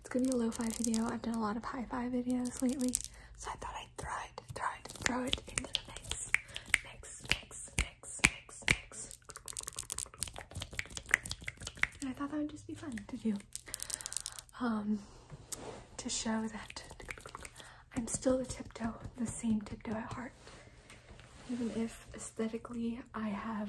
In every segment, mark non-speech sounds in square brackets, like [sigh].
It's gonna be a lo-fi video. I've done a lot of hi-fi videos lately, so I thought I'd throw it, throw it, throw it into the mix. Mix, mix, mix, mix, mix. And I thought that would just be fun to do. Um to show that I'm still the tiptoe, the same tiptoe at heart. Even if aesthetically I have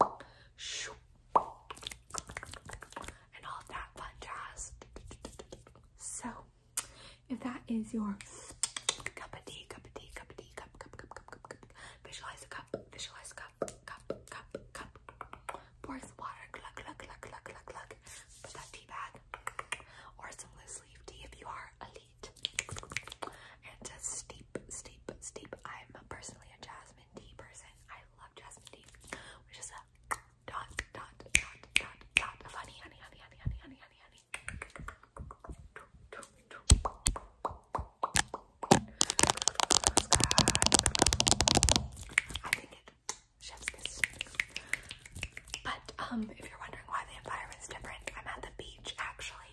and all that fun jazz. So, if that is your cup of tea, cup of tea, cup of tea, cup, cup, cup, cup, cup, cup, a cup, cup, cup, cup, pour some water, cluck, cluck, cluck, cluck, cluck, cluck, put that tea bag, or some loose leaf tea if you are elite, and just steep, steep, steep. I'm personally a jasmine jasmine tea person. I love jasmine tea, which is a dot dot dot dot dot of honey, honey, honey, honey, honey, honey, honey, honey. I think it chef's kiss. But um, if you're wondering why the environment's different, I'm at the beach actually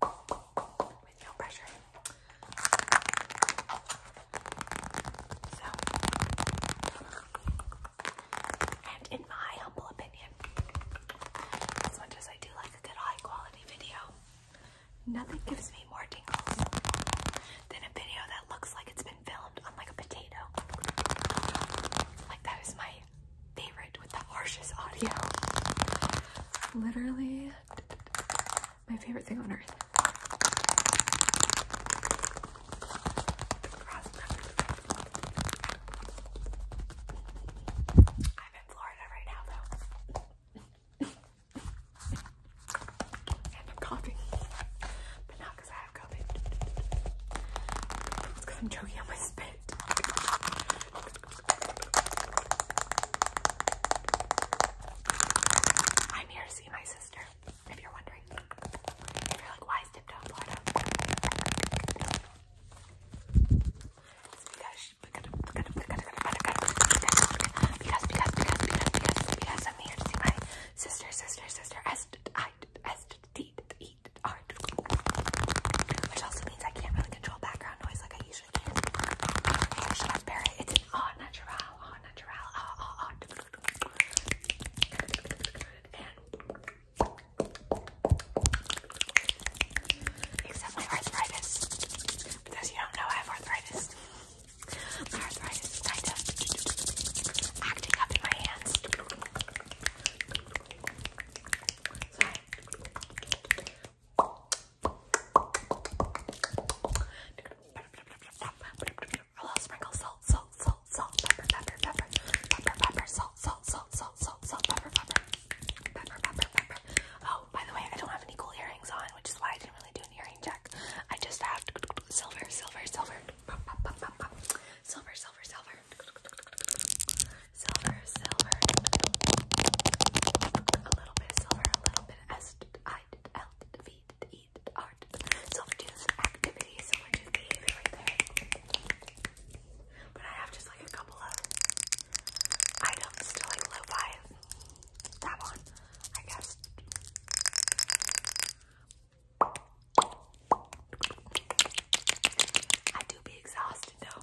with no pressure. So, and in my humble opinion, as much as I do like a good high quality video, nothing gives me more tingles than a video that looks like it's been filmed on like a potato. Like that is my favorite with the harshest audio. Literally my favorite thing on earth. I'm in Florida right now though. [laughs] and I'm coughing. But not because I have COVID. It's I'm choking on my spit. I'm here to see my sister, if you're wondering. you're like, why is Tiptoe because, because, because, because, because, because, I'm to see my sister, sister, sister, S, I, S, D, E, feet are, which also means I can't really control background noise like I usually can. It's much better. It's an au natural, au natural, au, au, au. And except my arthritis, because you don't know I have arthritis. My arthritis is kind of acting up in my hands. So I a little sprinkle salt, salt, salt, salt, pepper, pepper, pepper, pepper, pepper, salt, salt, salt, salt, salt, salt, pepper, pepper, pepper, pepper, pepper. Oh, by the way, I don't have any cool earrings on, which is why I didn't really do an earring check. I just have silver, silver, silver, silver, silver, silver silver, silver, a little bit of silver, a little bit of S, I, L, V, E, R, silver tooth activity, silver tooth behavior But I have just like a couple of items to like live by. That one, I guess. I do be exhausted though.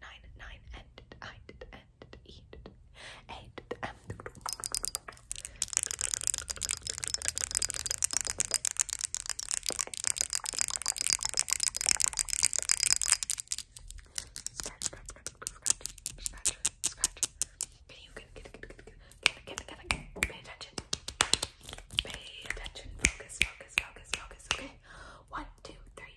nine, nine, and I did, and E did, and M. Scratch, scratch, scratch, scratch, scratch. Can you get, get, get, get, get, get, get, get, pay attention. Pay attention. Focus, focus, focus, focus. Okay. One, two, three.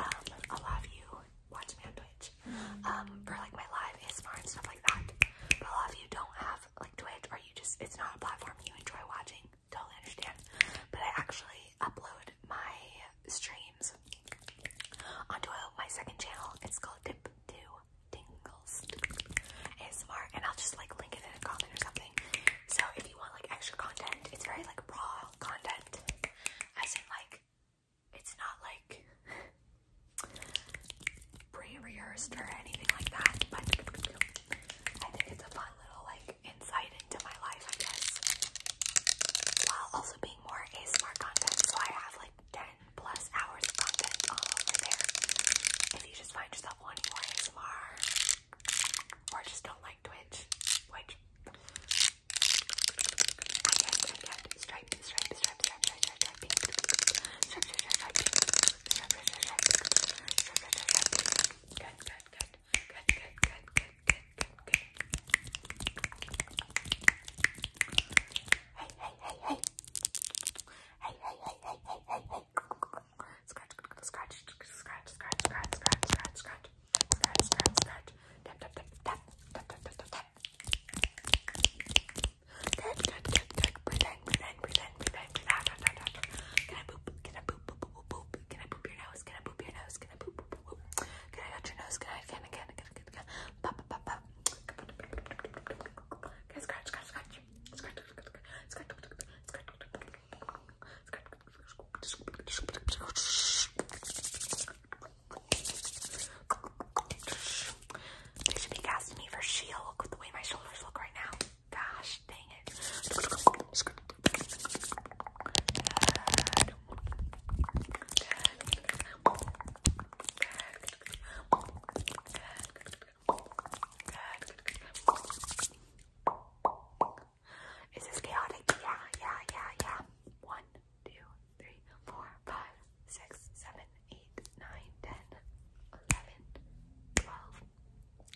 um, I'll you watch me on Twitch, um, for like my live ASMR and stuff like that. a lot of you don't have like Twitch, or you just, it's not a platform you enjoy watching, totally understand. But I actually upload my streams onto my second channel. It's called Dip Do Tingles ASMR, and I'll just like link it in a comment or something. So if you want like extra content, it's very like raw content, as in like it's not like pre-rehearsed or anything like that, but I think it's a fun little like insight into my life, I guess. While also being more ASMR content, so I have like 10 plus hours of content all over there. If you just find yourself wanting more ASMR or just don't like Twitch, which stripe, stripe, stripe, stripe, stripe, stripe, stripe, pink, stripe, stripe, stripe, pink, stripe, stripe, stripe, pink, stripe, stripe, stripe, pink. Good, good, good, good, good, good, good, good, good, good. Hey, hey, hey, hey. Hey, hey, hey, hey, hey, hey, hey. Scratch, scratch, scratch, scratch, scratch, scratch, scratch, scratch. Scratch, scratch, scratch. Tap, tap, tap, tap. Tap, tap, tap, tap, tap. Good, good, good, good. Breathe in, breathe in, breathe in, breathe in, breathe out, out, out, out. Can I boop? Can I boop, boop, boop, boop, boop? Can I boop your nose? Can I boop your nose? Can I boop, boop, boop, boop? Can I touch your nose? Can I, can I, can I, can I, can I, can I? Pop, pop, pop, pop. Can I scratch, scratch, scratch? Scratch, scratch, scratch. Scratch, scratch, scratch. Scratch, they should be casting me for She-Hulk with the way my shoulders look right now. Gosh, dang it. Good. Good. Good. Good. Is this chaotic? Yeah, yeah, yeah, yeah. One, two, three, four, five, six, seven, eight, nine, ten, eleven, twelve,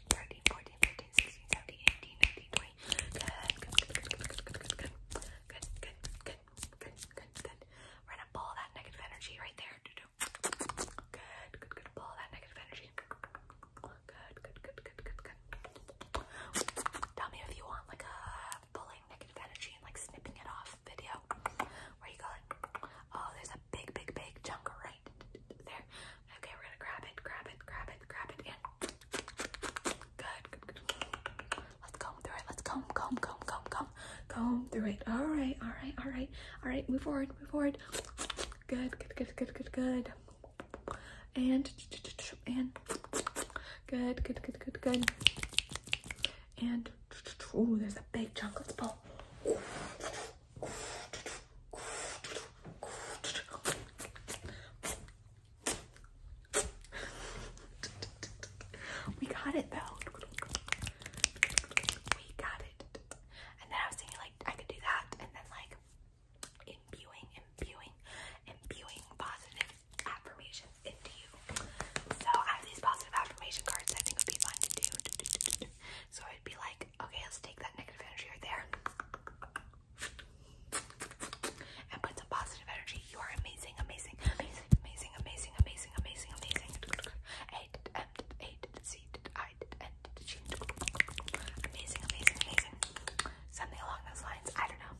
thirteen, fourteen, fifteen, sixteen, seventeen, eighteen, nineteen, twenty. Good, good, good, good, good, good, good, good, good, good, good, good, good, good. that negative energy right there. Good, good, good. Pull that negative energy. Good, good, good, good, good, good. Tell me if you want like a pulling negative energy and like snipping it off video where you go oh, there's a big, big, big chunk right there. Okay, we're gonna grab it, grab it, grab it, grab it, and good. Let's comb through it. Let's comb, comb, comb, comb, comb, comb through it. All right, all right, all right, all right. Move forward, move forward. Good, good, good, good, good, good and and good, good, good, good, good. And oh, there's a big chocolate of We got it though. We got it. And then I was thinking like I could do that and then like imbuing, imbuing, imbuing positive affirmations into you. So I have these positive affirmation cards I think would be fun to do. [laughs] So I'd be like, okay, let's take that negative energy right there and put some positive energy. You are amazing, amazing, amazing, amazing, amazing, amazing, amazing, amazing. A, M, A, C, I, N, G. Amazing, amazing, amazing something along those lines. I don't know.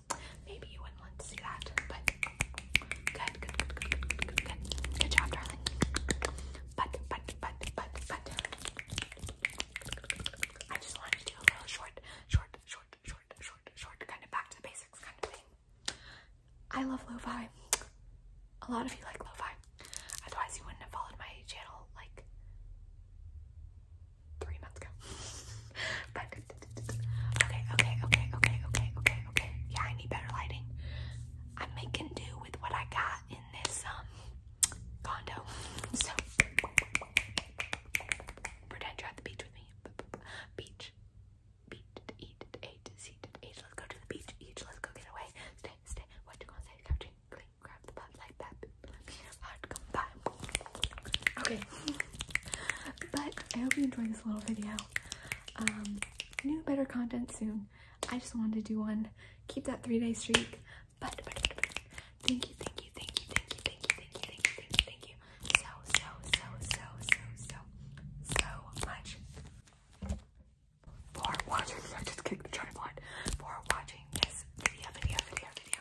Maybe you wouldn't want to see that, but good, good, good, good, good, good, good, good. Good job, darling. But, but, but, but, but. I just wanted to do a little short, short, short, short, short, short, kind of back to the basics kind of thing. I love lo-fi. A lot of you like lo-fi. Otherwise, you wouldn't have followed my channel like three months ago. but [laughs] okay, okay, okay, okay, okay, okay, okay. Yeah, I need better lighting. I'm making do with what I got in this um condo. So pretend you're at the beach with me. Beach. Beach. Eat. Eat. Eat. Let's go to the beach. Each. Let's go get away. Stay. Stay. What you gonna say? Couching quickly grab the pot like that. Hard come by. Okay. But I hope you enjoyed this little video. Um, new better content soon. I just wanted to do one. Keep that three-day streak. But, but, but, but thank you, thank you, thank you, thank you, thank you, thank you, thank you, thank you, thank you. So, so, so, so, so, so, so much. For watching, I just kicked the tripod. For watching this video, video, video, video,